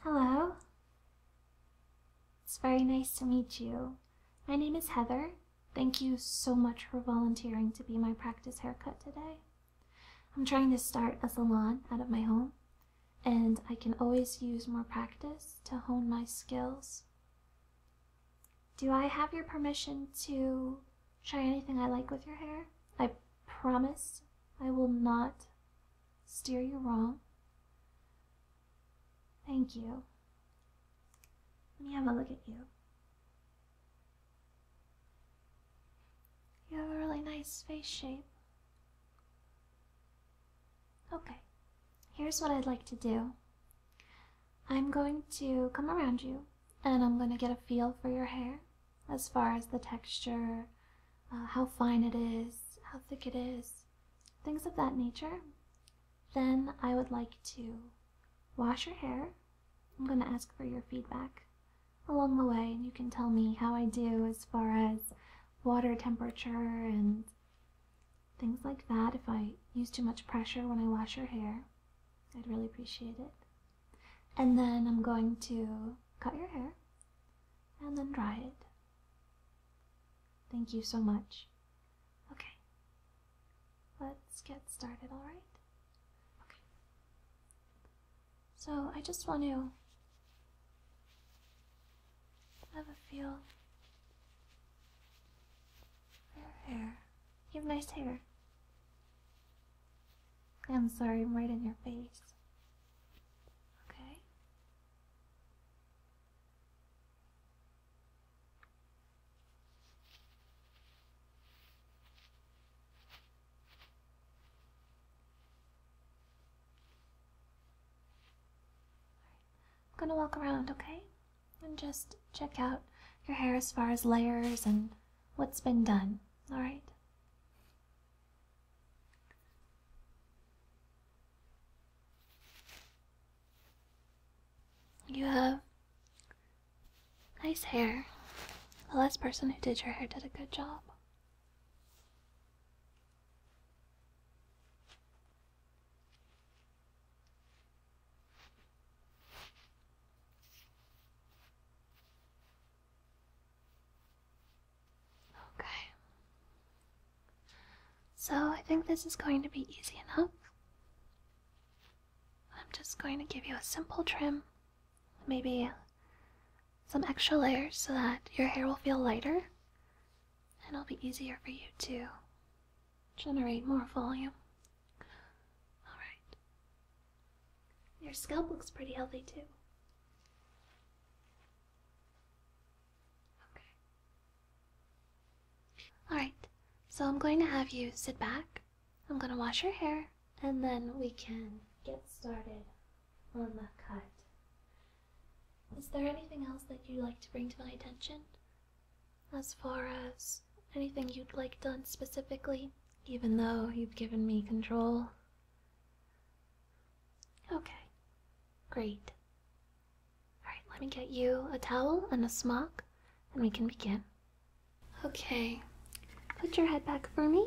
Hello. It's very nice to meet you. My name is Heather. Thank you so much for volunteering to be my practice haircut today. I'm trying to start a salon out of my home, and I can always use more practice to hone my skills. Do I have your permission to try anything I like with your hair? I promise I will not steer you wrong. Thank you. Let me have a look at you. You have a really nice face shape. Okay, here's what I'd like to do I'm going to come around you and I'm going to get a feel for your hair as far as the texture, uh, how fine it is, how thick it is, things of that nature, then I would like to wash your hair. I'm going to ask for your feedback along the way, and you can tell me how I do as far as water temperature and things like that. If I use too much pressure when I wash your hair, I'd really appreciate it. And then I'm going to cut your hair and then dry it. Thank you so much. Okay, let's get started, alright? Okay. So, I just want to have a feel your hair. You have nice hair. I'm sorry, I'm right in your face. Okay? I'm gonna walk around, okay? And just check out your hair as far as layers and what's been done, alright? You have nice hair. The last person who did your hair did a good job. Okay. So I think this is going to be easy enough. I'm just going to give you a simple trim, maybe some extra layers so that your hair will feel lighter and it'll be easier for you to generate more volume. Alright. Your scalp looks pretty healthy too. Alright, so I'm going to have you sit back. I'm going to wash your hair, and then we can get started on the cut. Is there anything else that you'd like to bring to my attention? As far as anything you'd like done specifically, even though you've given me control? Okay, great. Alright, let me get you a towel and a smock, and we can begin. Okay, put your head back for me.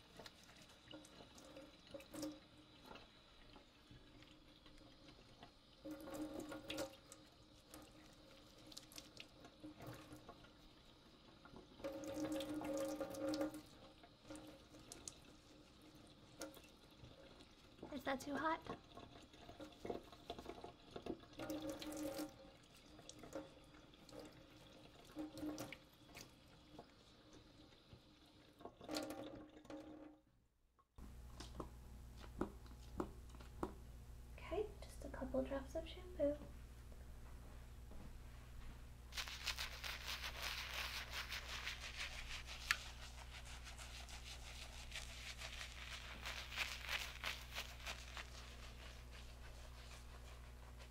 Is that too hot? Okay, just a couple drops of shampoo.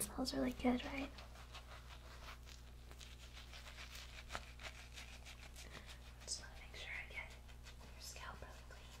smells really good, right? Just want to make sure I get your scalp really clean.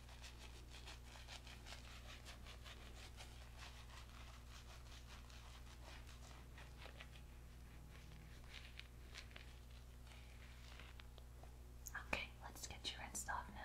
Okay, let's get you rinsed off now.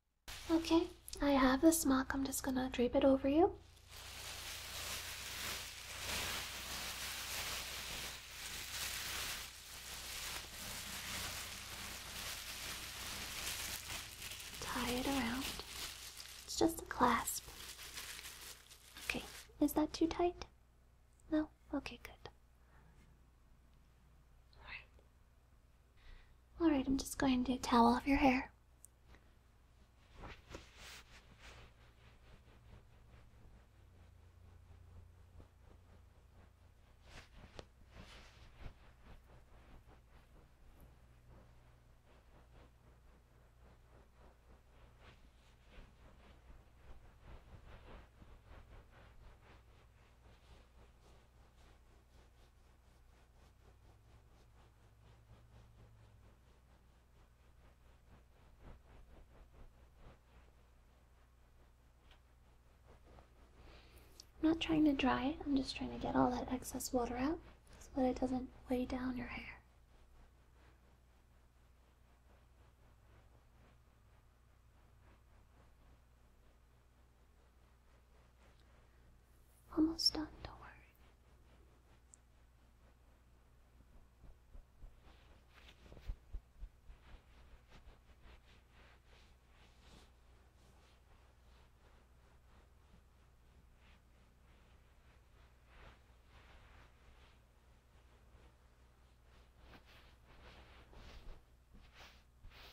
Okay, I have the smock. I'm just gonna drape it over you. Tie it around. It's just a clasp. Okay, is that too tight? No? Okay, good. Alright. Alright, I'm just going to towel off your hair. I'm not trying to dry it, I'm just trying to get all that excess water out so that it doesn't weigh down your hair. Almost done, don't worry.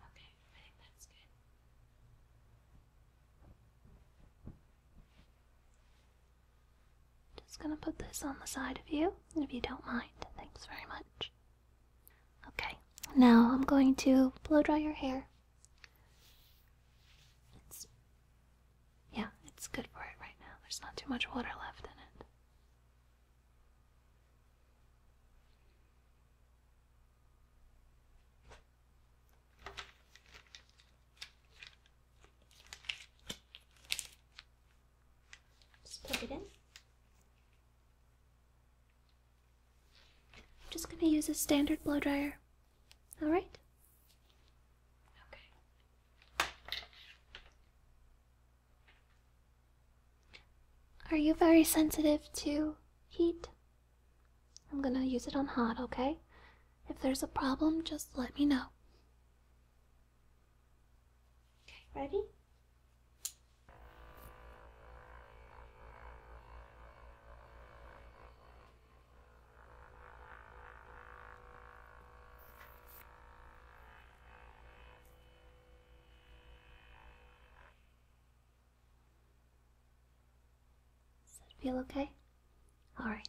Okay, I think that's good. Just gonna put this on the side of you, if you don't mind. Thanks very much. Okay, now I'm going to blow dry your hair. Yeah, it's good for it right now. There's not too much water left in it. Just plug it in. I'm just going to use a standard blow dryer. Alright? Okay. Are you very sensitive to heat? I'm gonna use it on hot, okay? If there's a problem, just let me know. Okay, ready? Does that feel okay? All right.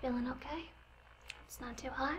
Feeling okay? It's not too hot?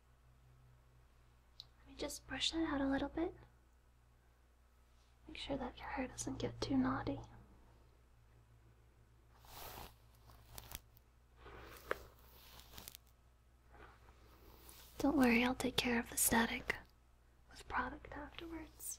Let me just brush that out a little bit. Make sure that your hair doesn't get too knotty. Don't worry, I'll take care of the static with product afterwards.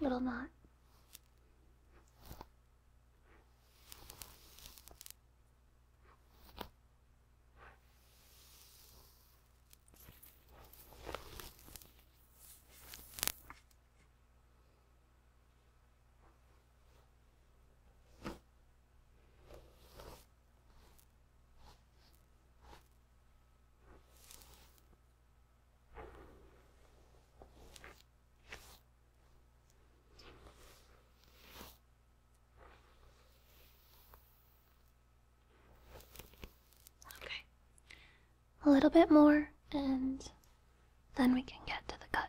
Little knot. Okay. A little bit more, and then we can get to the cut.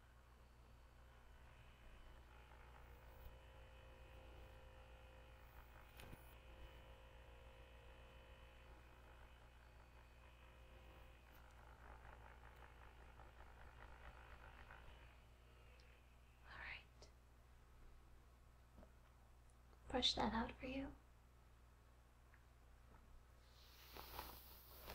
All right. Brush that out for you.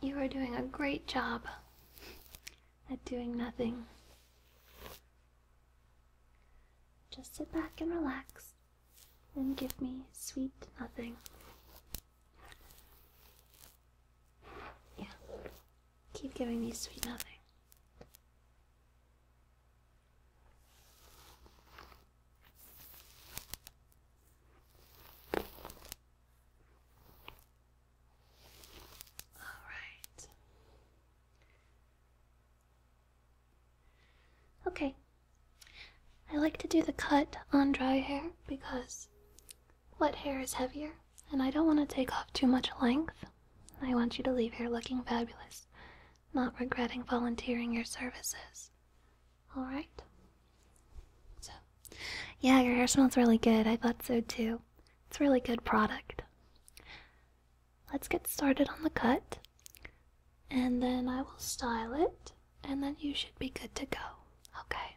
You are doing a great job at doing nothing. Just sit back and relax and give me sweet nothing. Yeah. Keep giving me sweet nothing. All right. Okay. I like to do the cut on dry hair because what hair is heavier, and I don't want to take off too much length. I want you to leave here looking fabulous, not regretting volunteering your services. Alright? So, yeah, your hair smells really good. I thought so too. It's really good product. Let's get started on the cut, and then I will style it, and then you should be good to go. Okay?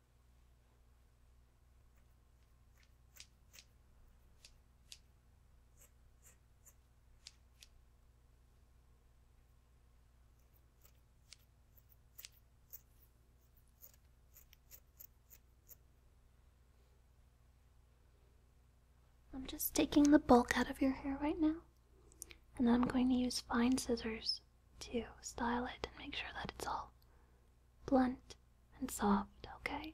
I'm just taking the bulk out of your hair right now, and I'm going to use fine scissors to style it and make sure that it's all blunt and soft, okay?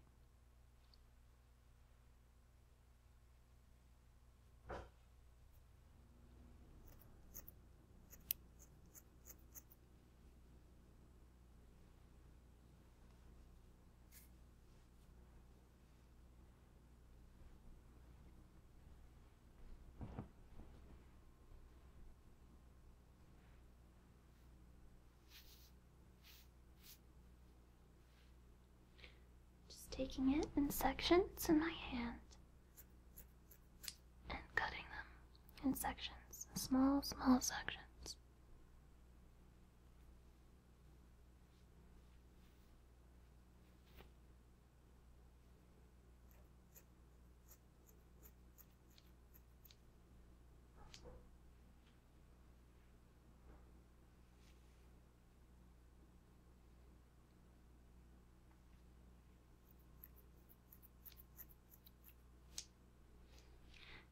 Just taking it in sections in my hand and cutting them in sections, small, small sections.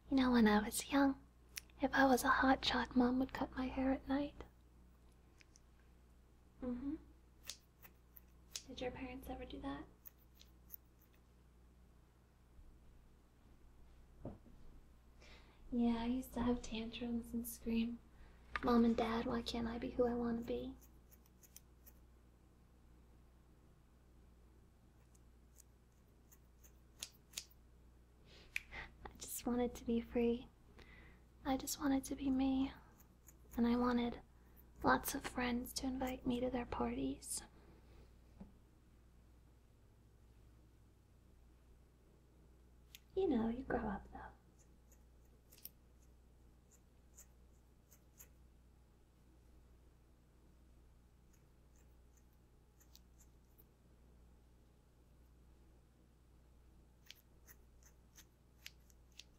You know, when I was young, if I was a hot shot, mom would cut my hair at night. hmm. Did your parents ever do that? Yeah, I used to have tantrums and scream, Mom and Dad, why can't I be who I want to be? I just wanted to be free. I just wanted to be me and I wanted lots of friends to invite me to their parties. You know, you grow up though.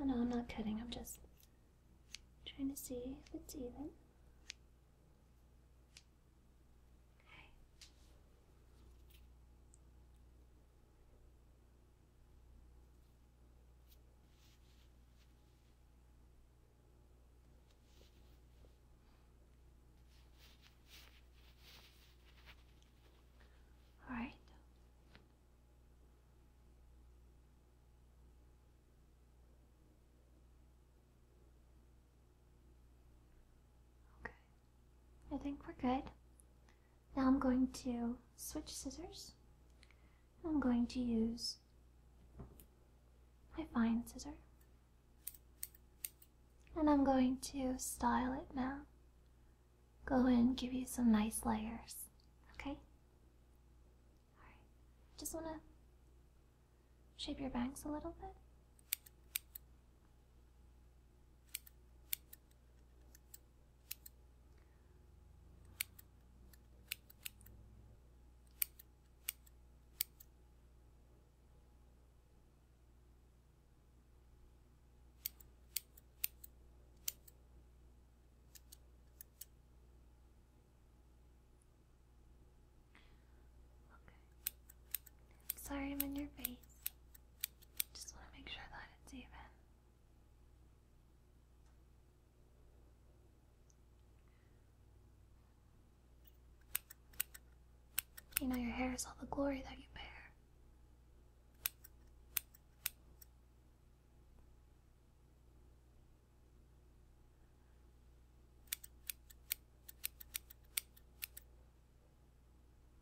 Oh no, I'm not cutting, I'm just trying to see if it's even. All right. Okay. I think we're good. Now I'm going to switch scissors. I'm going to use my fine scissor. And I'm going to style it now. Go in, give you some nice layers. Okay? Just want to shape your bangs a little bit. Sorry I'm in your face. Just want to make sure that it's even. You know, your hair is all the glory that you bear.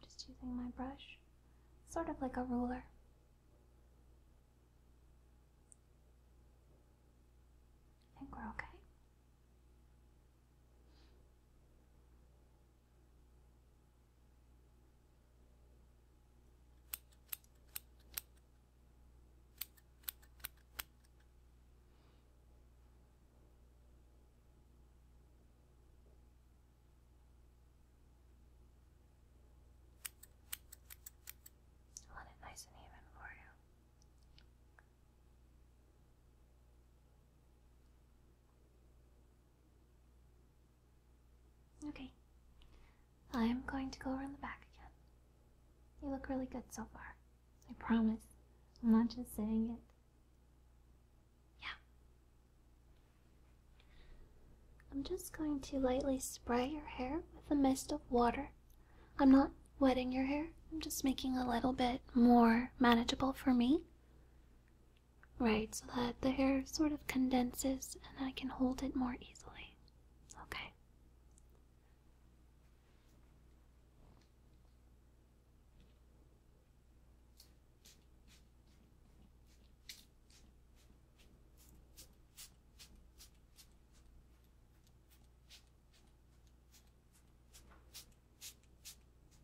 Just using my brush, sort of like a ruler. I think we're okay. I it nice and even for you. Okay. I'm going to go around the back again. You look really good so far. I promise. I'm not just saying it. Yeah. I'm just going to lightly spray your hair with a mist of water. I'm not wetting your hair, I'm just making a little bit more manageable for me. Right, so that the hair sort of condenses and I can hold it more easily. Okay.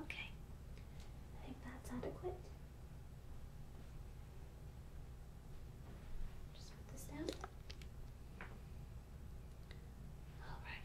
Okay, I think that's adequate. Just put this down. All right.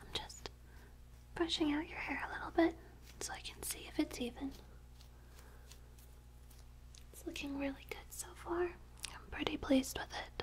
I'm just brushing out your hair a little bit so I can see if it's even. It's looking really good so far. I'm pretty pleased with it.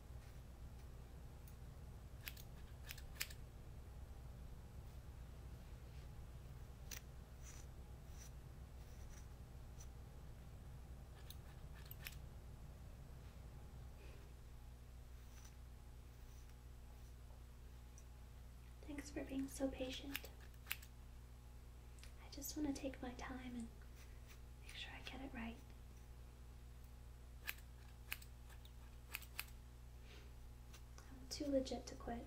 Thanks for being so patient. I just want to take my time and make sure I get it right. I'm too legit to quit.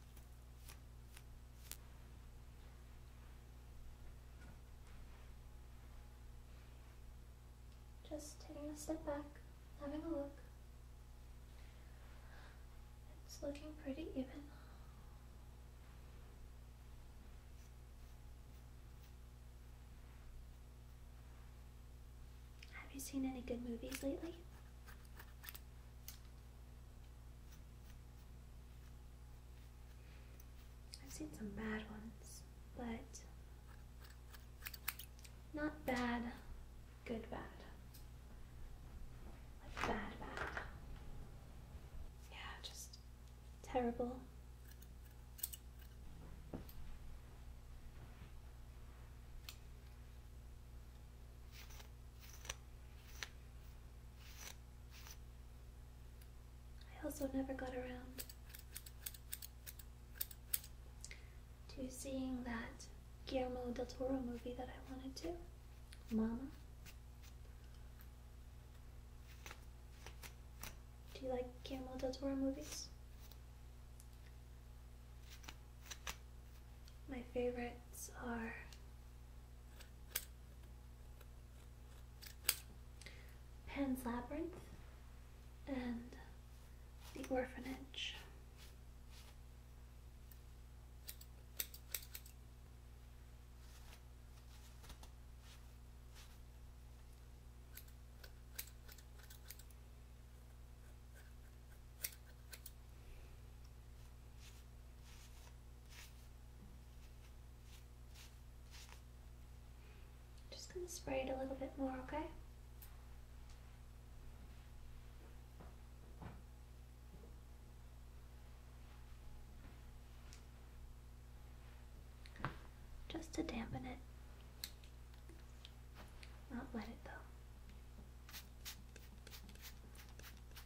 Just taking a step back, having a look. It's looking pretty even. Have you seen any good movies lately? I've seen some bad ones, but not bad, good bad. bad, bad. Yeah, just terrible. I also never got around to seeing that Guillermo del Toro movie that I wanted to, Mama. Do you like Guillermo del Toro movies? My favorites are Pan's Labyrinth and The Orphanage. Just going to spray it a little bit more, okay? Just to dampen it. Not wet it though.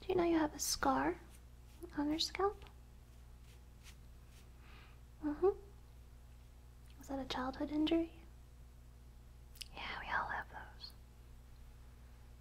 Do you know you have a scar on your scalp? Mm-hmm. Was that a childhood injury? Yeah, we all have those.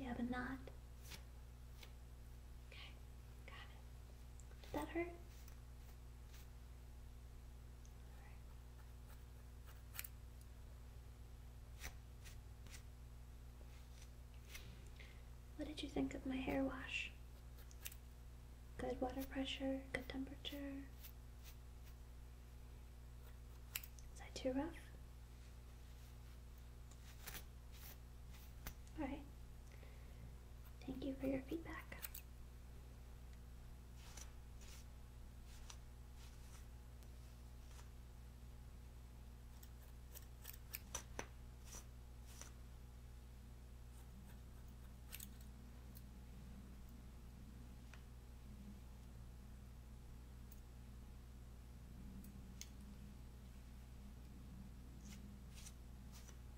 Yeah, but not Okay, got it. Did that hurt? What did you think of my hair wash? Good water pressure, good temperature. Is that too rough? Alright, Thank you for your feedback.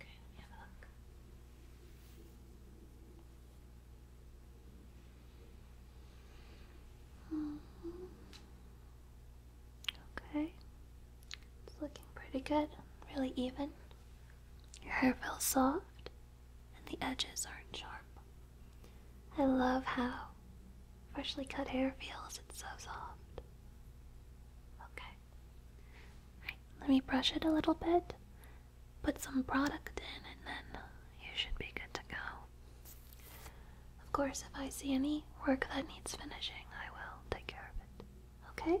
Okay, let me have a look. Mm-hmm. Okay, it's looking pretty good, really even. Your hair feels soft, and the edges aren't sharp. I love how freshly cut hair feels, it's so soft. Okay. Right, let me brush it a little bit, put some product in, and then you should be good to go. Of course, if I see any work that needs finishing, I will take care of it. Okay?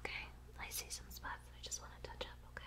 Okay, I see some spots I just want to touch up, okay?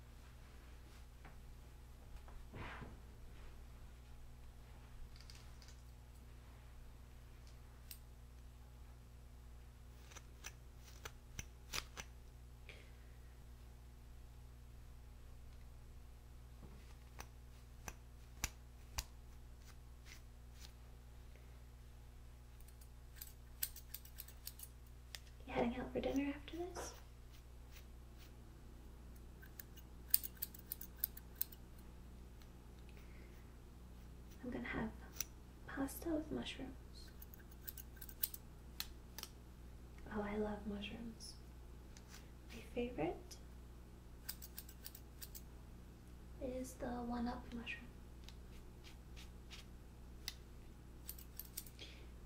You heading out for dinner after this? I'm gonna have pasta with mushrooms. Oh, I love mushrooms. My favorite is the one up mushroom.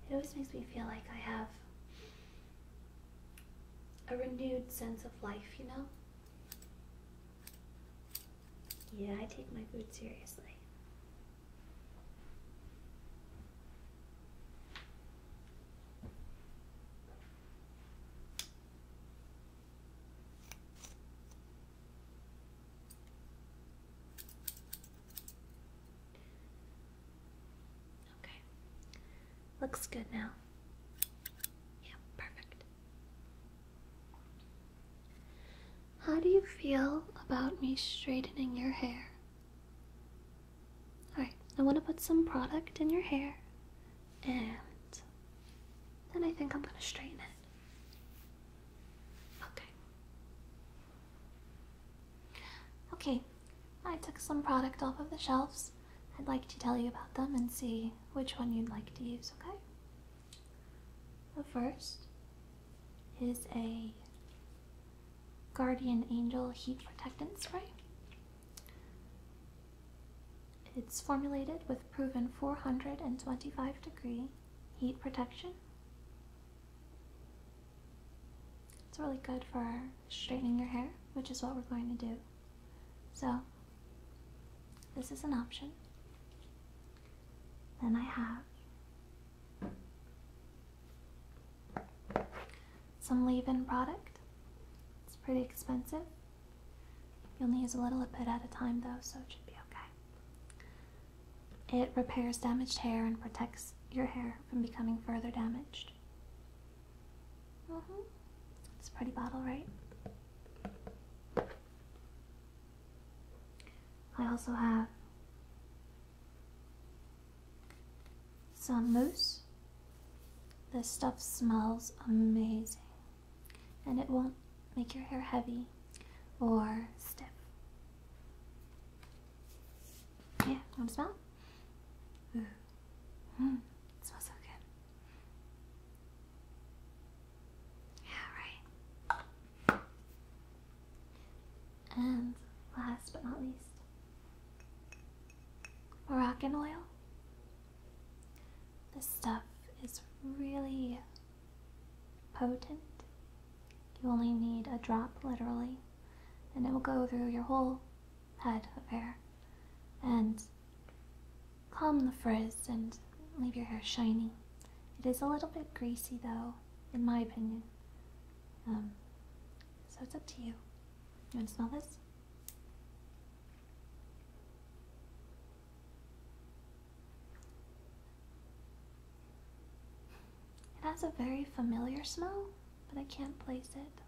It always makes me feel like I have a renewed sense of life, you know? Yeah, I take my food seriously. Okay. Looks good now. Yeah, perfect. How do you feel about me straightening your hair? Alright, I want to put some product in your hair and then I think I'm going to straighten it. Okay. Okay, I took some product off of the shelves. I'd like to tell you about them and see which one you'd like to use, okay? The first is a Guardian Angel Heat Protectant Spray. It's formulated with proven 425 degree heat protection. It's really good for straightening your hair, which is what we're going to do. So, this is an option. Then I have some leave in product. It's pretty expensive. You'll need a little bit at a time though, so it should be okay. It repairs damaged hair and protects your hair from becoming further damaged finished. Mm It's a pretty bottle, right? I also have some mousse. This stuff smells amazing and it won't make your hair heavy or stiff. Yeah, want to smell? Ooh. Mm. Mm, it smells so good. Yeah, right. And last but not least, Moroccan oil. This stuff is really potent. You only need a drop, literally, and it will go through your whole head of hair and comb the frizz and leave your hair shiny. It is a little bit greasy though, in my opinion. Um, so it's up to you. You want to smell this? It has a very familiar smell, but I can't place it.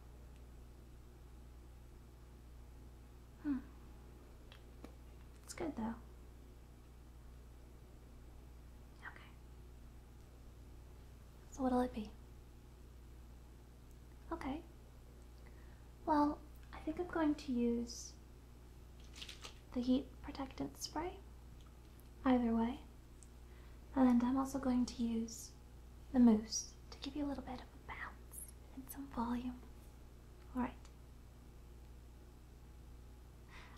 Hmm. It's good though. Okay. So what'll it be? Okay. Well, I think I'm going to use the heat protectant spray. Either way, and I'm also going to use the mousse to give you a little bit of a bounce and some volume. Alright.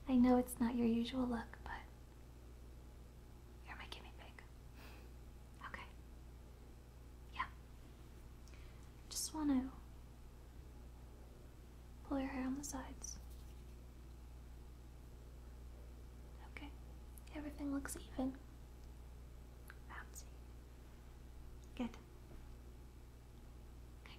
I know it's not your usual look, but you're my guinea pig. Okay. Yeah. Just want to pull your hair on the sides. Okay, everything looks even. Bouncy. Good. Okay.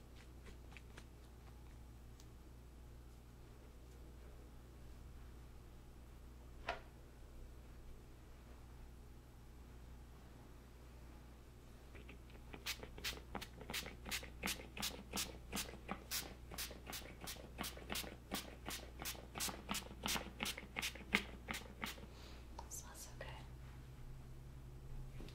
Smells so good.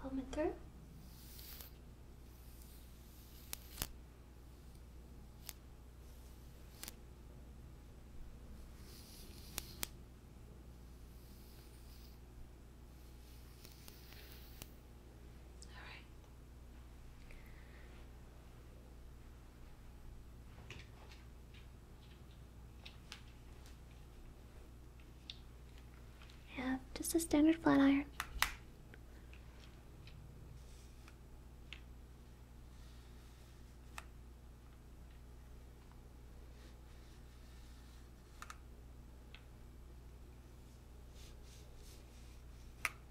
Call me through. All right. I just a standard flat iron.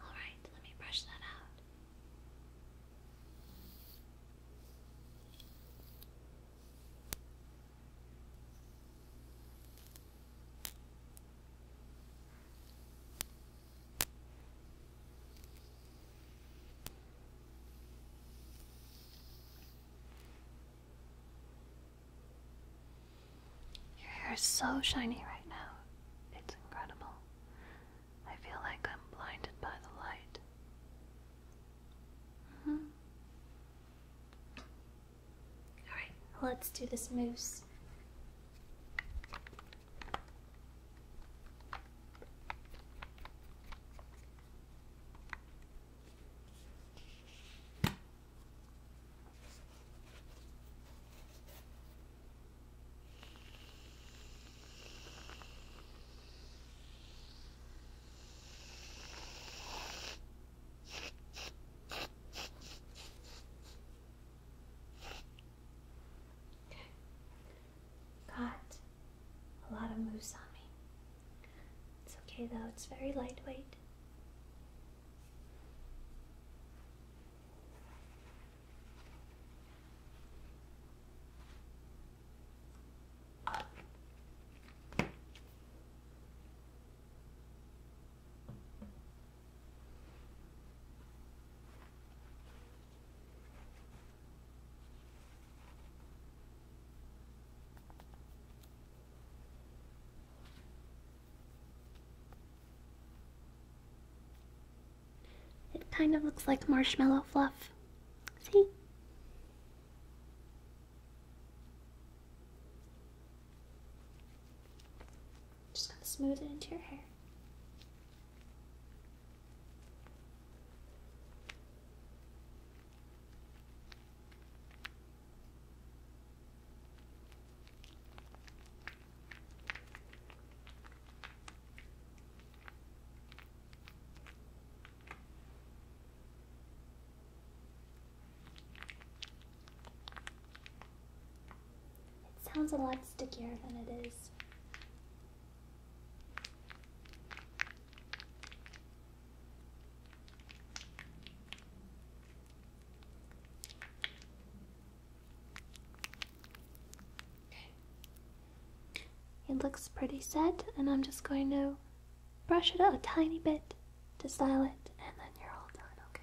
All right, let me brush that out. Your hair is so shiny right now. It's incredible. I feel like I'm blinded by the light. Mm-hmm. Alright, let's do this moose. Got a lot of moose on me. It's okay though, it's very lightweight. It kind of looks like marshmallow fluff. See? Just gonna smooth it into your hair. It sounds a lot stickier than it is. It looks pretty set, and I'm just going to brush it a tiny bit to style it, and then you're all done, okay?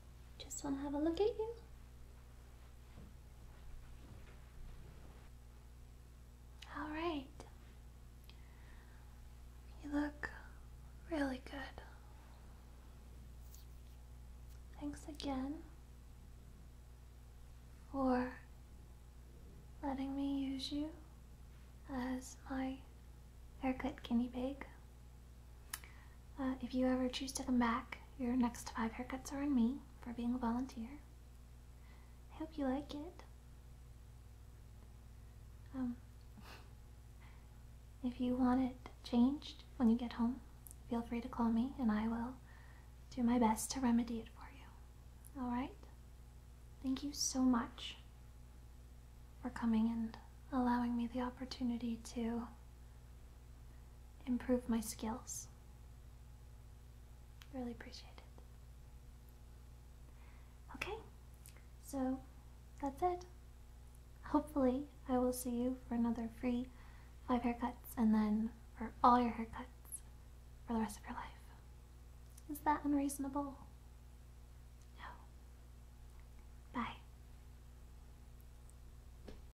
Just want to have a look at you. All right. You look really good. Thanks again for letting me use you as my haircut guinea pig. Uh, if you ever choose to come back, your next five haircuts are on me for being a volunteer. I hope you like it. Um, if you want it changed when you get home, feel free to call me and I will do my best to remedy it for you. Alright? Thank you so much for coming and allowing me the opportunity to improve my skills. Really appreciate it. Okay, so that's it. Hopefully, I will see you for another free five haircuts and then for all your haircuts for the rest of your life. Is that unreasonable? No. Bye.